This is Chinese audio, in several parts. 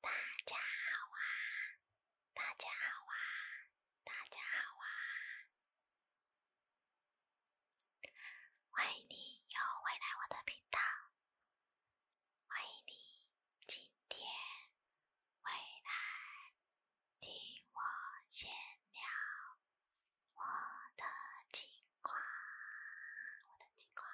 大家好啊！大家好啊！大家好啊！欢迎你又回来我的频道，欢迎你今天回来听我闲聊我的情况，我的情况。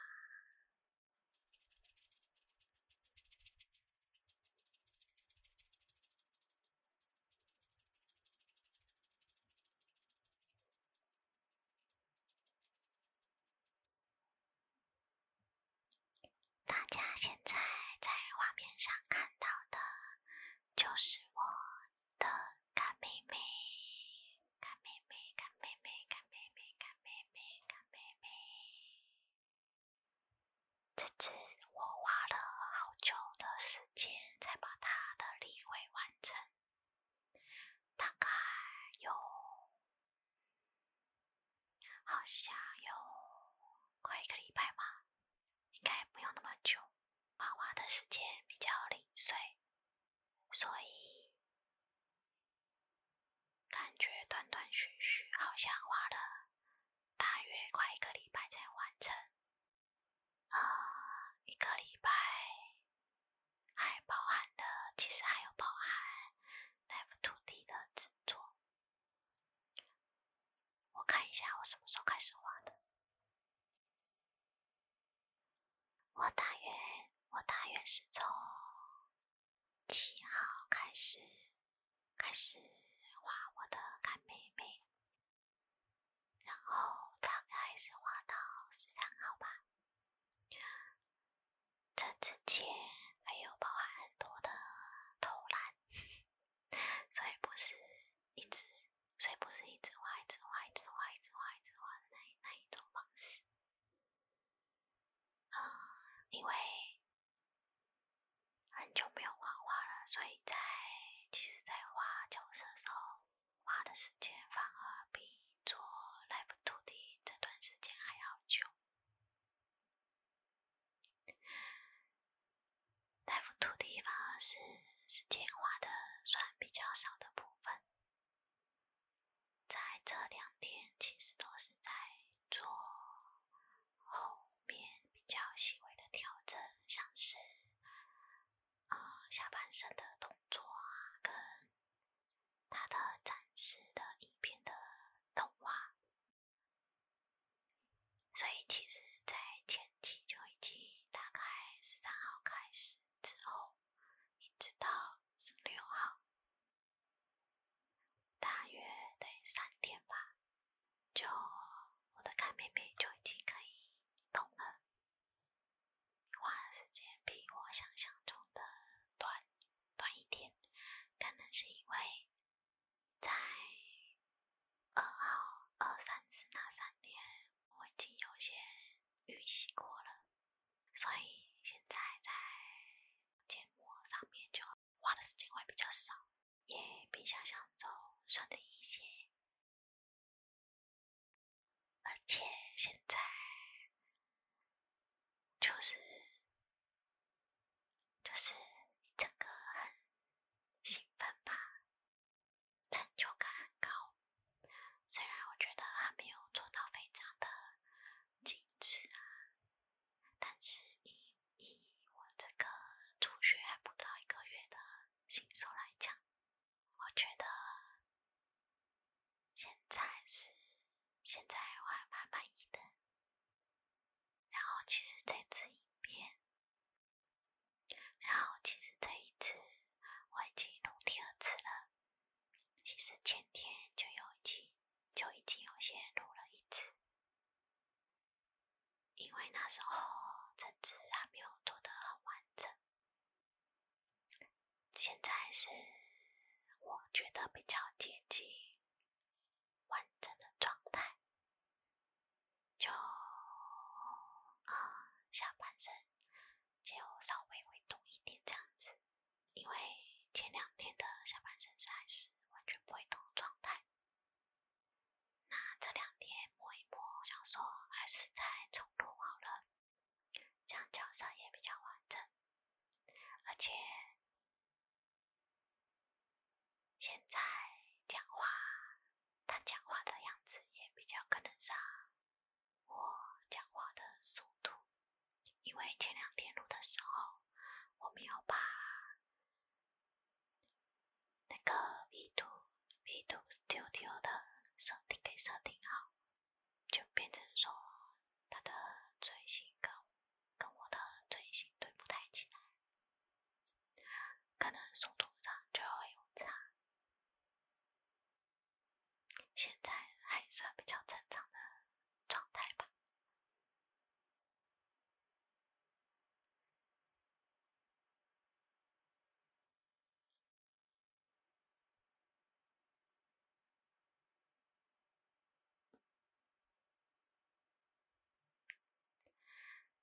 大家现在在画面上看到的，就是我的干妹妹。看妹妹，看妹妹，看妹妹，看妹妹，看妹妹。这次我花了好久的时间才把它的例会完成，大概有，好像有快一个礼拜吧，应该不用那么久，画画的时间比较零碎。所以感觉断断续续，好像花了大约快一个礼拜才完成。呃，一个礼拜还包含了，其实还有包含 life to d 的制作。我看一下，我什么时候开始画的？我大约，我大约是从七号开始，开始画我的干妹妹，然后大概是画到十三号吧。这之前还有包含很多的偷懒，所以不是一直，所以不是一直画，一直画，一直画，一直画，一直画那那一种方式。嗯，因为很久没有画画了，所以在其实，在画角色的时候，花的时间反而比做 Live 土地这段时间还要久。Live 土地反而是时间花的算比较少的部分。在这两天，其实都是在做后面比较细微的调整，像是呃下半身的动作啊，跟他的展示的影片的动画。所以，其实，在前期就已经大概十三号开始之后。一直到十六号，大约得三天吧，就我的干妹妹就已经可以动了。花的时间比我想象中的短短一点，可能是因为在二号、二三四那三天，我已经有些预习过了。所以现在在节目上面就花的时间会比较少，也比想象中顺利一些。而且现在就是就是整个很兴奋吧。成就感很高，虽然我觉得还没有做到非常的精致啊，但是以以我这个初学还不到一个月的新手来讲，我觉得现在是现在我还蛮满意的。然后其实这次影片，然后其实这一次。我已经录第二次了，其实前天就有一经就已经有先录了一次，因为那时候政治还没有做得很完整，现在是我觉得比较接近完整的状态，就啊下半身。就稍微会动一点这样子，因为前两天的下半身是还是完全不会动状态。那这两天摸一摸，想说还是再重录好了，这样角色也比较完整，而且现在讲话，他讲话的样子也比较可能上。我讲话的速度，因为前两天录的时候，我没有把那个 v t v t Studio 的设定给设定好，就变成说它的嘴型跟跟我的嘴型对不太起来，可能速度上就会有差。现在还算比较正常的状态吧。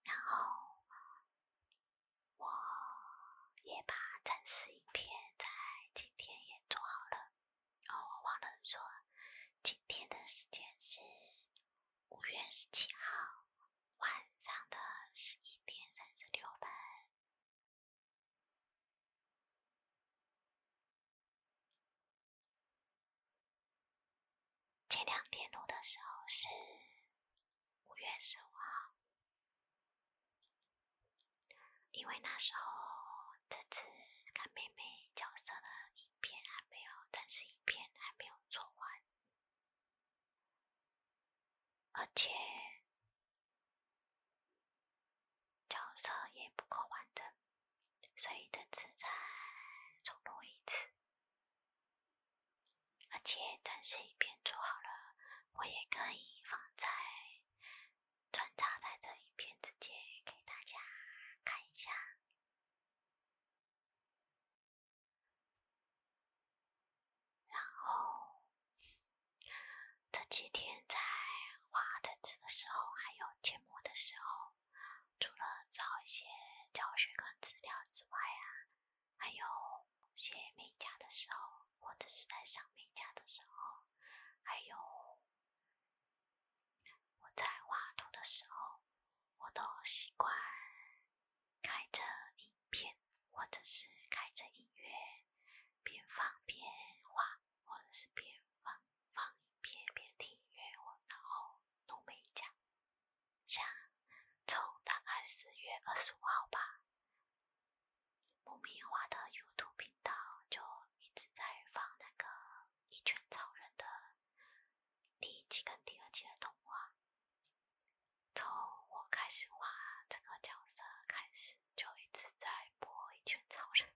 然后。我也把展示影片在今天也做好了。哦，我忘了说，今天的时间是五月十七号晚上的十一点三十六分。前两天录的时候是。五月十五号，因为那时候这次看妹妹角色的影片还没有，正式影片还没有做完，而且角色也不够完整，所以这次再重录一次。而且展示影片做好了，我也可以放在穿插在这影片之间给大家看一下。然后这几天在画文字的时候，还有建模的时候，除了找一些教学跟资料之外啊。还有卸美甲的时候，或者是在上美甲的时候，还有我在画图的时候，我都习惯开着影片，或者是开着音乐，边放边画，或者是边放放影片边听音乐，我然后弄美甲。像从大概十月二十五号吧，慕名花的 YouTube 频道就一直在放那个《一拳超人》的第一季跟第二季的动画，从我开始画这个角色开始，就一直在播《一拳超人》，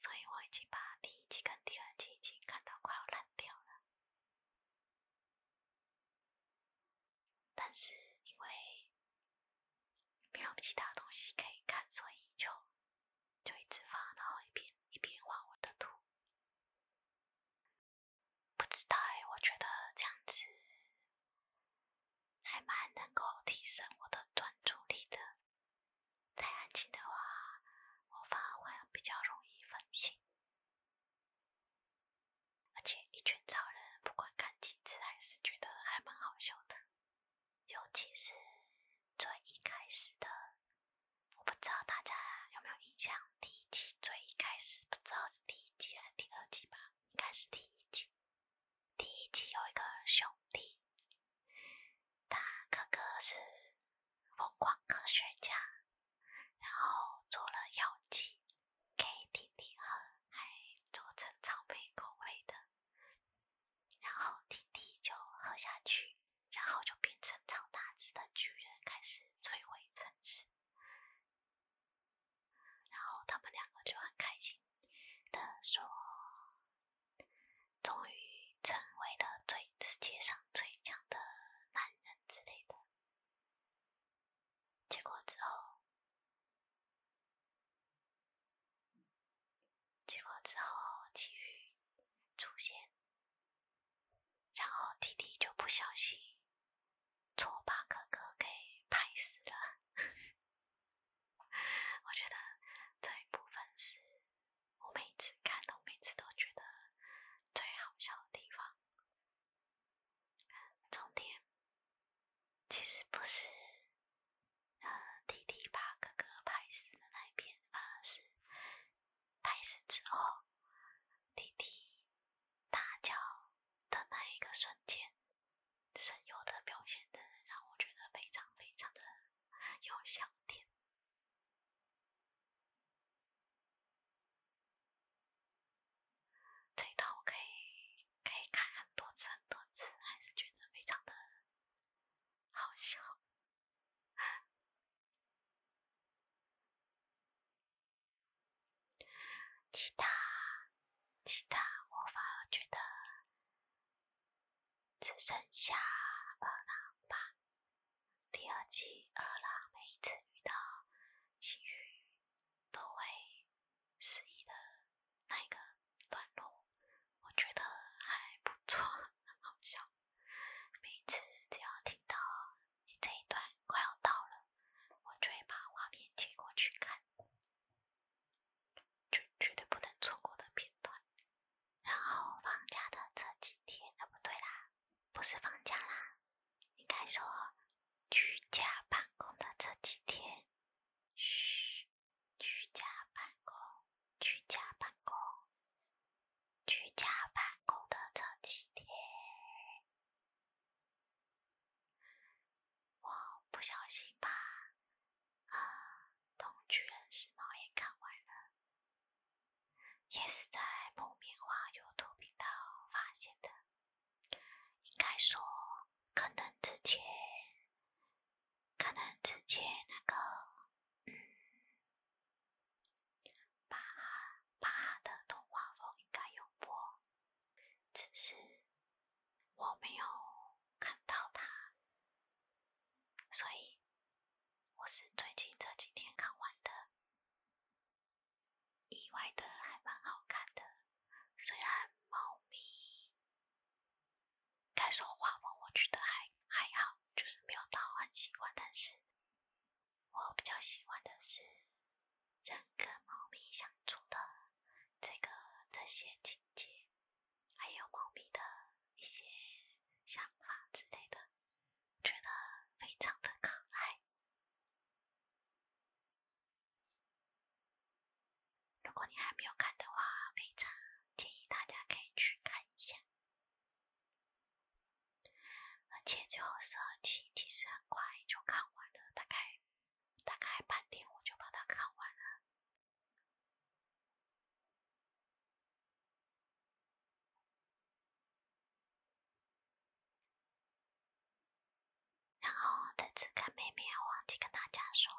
所以我已经把第一季跟第二季已经看到快要烂掉了。但是因为没有其他东西可以看，所以就就一直发，然后一边一边画我的图。不知道哎，我觉得这样子还蛮能够提升我的专注力的。太安静的话，我反而会比较容易分心。而且一群超人，不管看几次还是觉得还蛮好笑的。尤其是最一开始的，我不知道大家有没有印象，第一季最一开始，不知道是第一集还是第二集吧，应该是第一集，第一集有一个兄弟，他哥哥是疯狂科学家。然后做了药剂给婷婷喝，还做成草莓口味的。然后婷婷就喝下去，然后就变成超大只的巨人，开始摧毁城市。然后他们两个就很开心的说：“终于成为了最世界上最强的男人之类的。”结果之后，结果之后，奇遇出现，然后弟弟就不小心，错把哥哥给拍死了。我觉得这一部分是，我每次看都每次都觉得最好笑的地方。重点其实不是呃弟弟把哥哥拍死的那一边，反而是拍死之后弟弟大叫的那一个瞬间，神游的表现真的让我觉得非常非常的有笑点。这一套我可以可以看很多次很多次，还是觉得非常的好笑。其他其他，我反而觉得只剩下二郎吧。第二季二啦，每一次遇到新雨都会失忆的那一个段落，我觉得还不错，很好笑。每一次只要听到这一段快要到了，我就会把画面切过去看，就绝对不能错过的片段。然后放假的这几天，那不对啦。不是放假啦，应该说居家办公的这几天。嘘，居家办公，居家办公，居家办公的这几天，我不小心把《啊同居人士》毛也看完了。也是在某漫画 YouTube 频道发现的，应该说，可能之前，可能之前那个嗯，巴哈巴哈的动画风应该有播，只是我没有看到它，所以我是最近这几天看完的。意外的还蛮好看的，虽然猫咪该说话吧，我觉得还还好，就是没有到很喜欢。但是，我比较喜欢的是人跟猫咪相处的这个这些情节，还有猫咪的一些想法之类的，觉得非常的可爱。如果你还没有看的话，非常建议大家可以去看一下。而且后十二集，其实很快就看完了，大概大概半天我就把它看完了。然后在次看妹妹，要忘记跟大家说，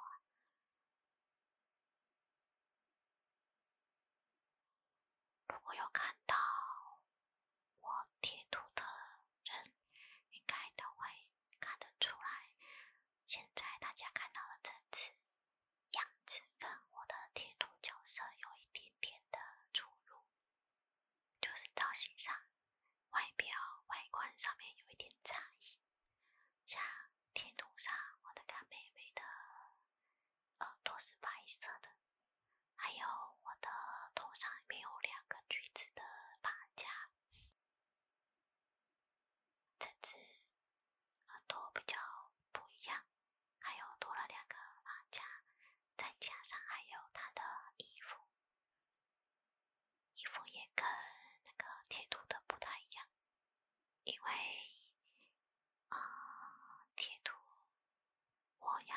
如果有看到我贴图的人，应该都会看得出来。现在大家看到的这次样子，跟我的贴图角色有一点点的出入。就是造型上、外表外观上面有一点差异，像贴图上我的干妹妹的耳朵是白色的，还有我的头上面有两个橘子的发夹，这只耳朵比较不一样。还有多了两个马甲，再加上还有他的衣服，衣服也跟那个贴图的不太一样，因为啊贴图我要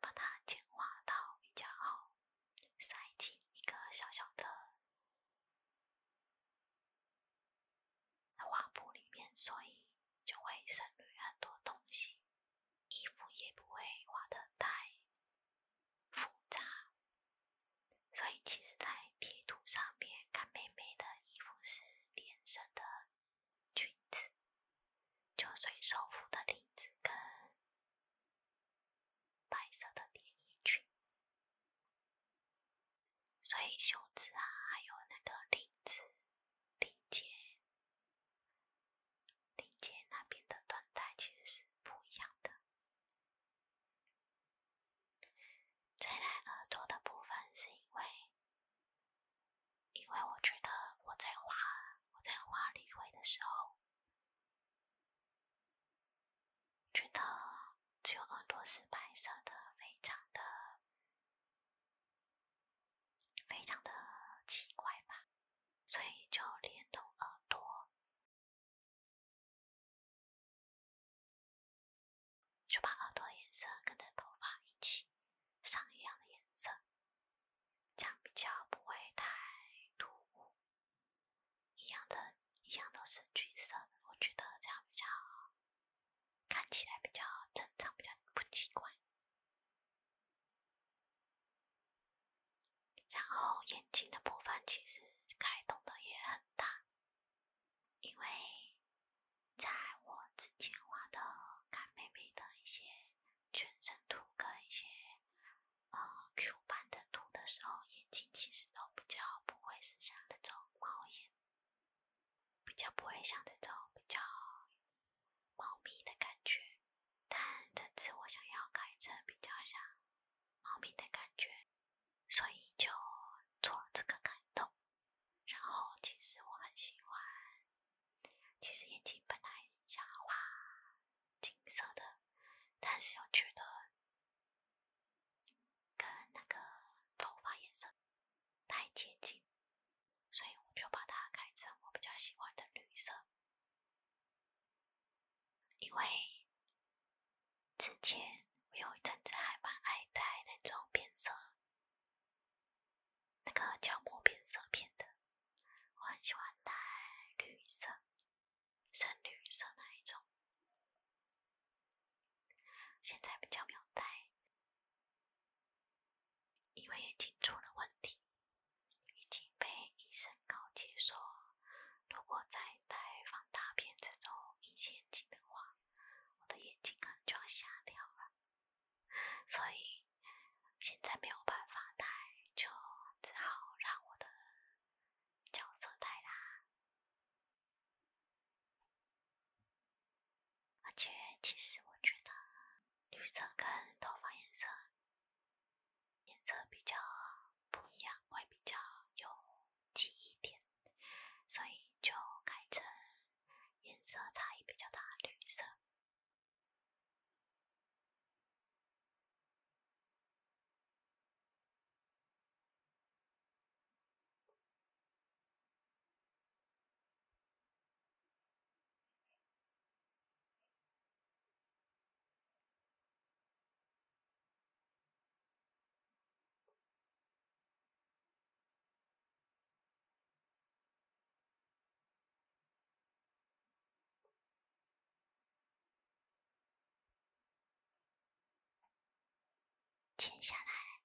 把它简化到比较好塞进一个小小的画布里面，所以就会省略很多东西。衣服也不会画的太复杂，所以其实在贴图上面，看妹妹的衣服是连身的裙子，就随手服的领子跟白色的连衣裙，所以袖子啊，还有那个领子、领结林姐那边的断带其实是不一样的。再来耳朵的部分，是因为，因为我觉得我在画我在画李逵的时候，觉得只有耳朵是白色的，非常的。非常的奇怪吧，所以就连同耳朵，就把耳朵的颜色跟着头发一起上一样的颜色，这样比较不会太突兀。一样的，一样都是橘色的，我觉得这样比较看起来比较正常，比较不奇怪。然后眼睛的部分其实改动的也很大，因为在我之前画的干妹妹的一些全身图跟一些呃 Q 版的图的时候，眼睛其实都比较不会是像那种猫眼，比较不会像那种比较。猫咪的感觉，但这次我想要改成比较像猫咪的感觉，所以就做这个改动。然后，其实我很喜欢，其实眼睛本来想画金色的，但是又觉得跟那个头发颜色太接近。所以我就把它改成我比较喜欢的绿色，因为之前我有一阵子还蛮爱戴那种变色，那个角膜变色片的，我很喜欢戴绿色、深绿色那一种，现在比较没有戴。因为眼睛出了问题，已经被医生告诫说，如果再戴放大片这种隐形眼镜的话，我的眼睛可能就要瞎掉了。所以现在没有办法戴，就只好让我的角色戴啦。而且，其实我觉得绿色跟头发颜色颜色比较不一样，会比较有记忆点，所以就改成颜色差异比较大，绿色。接下来。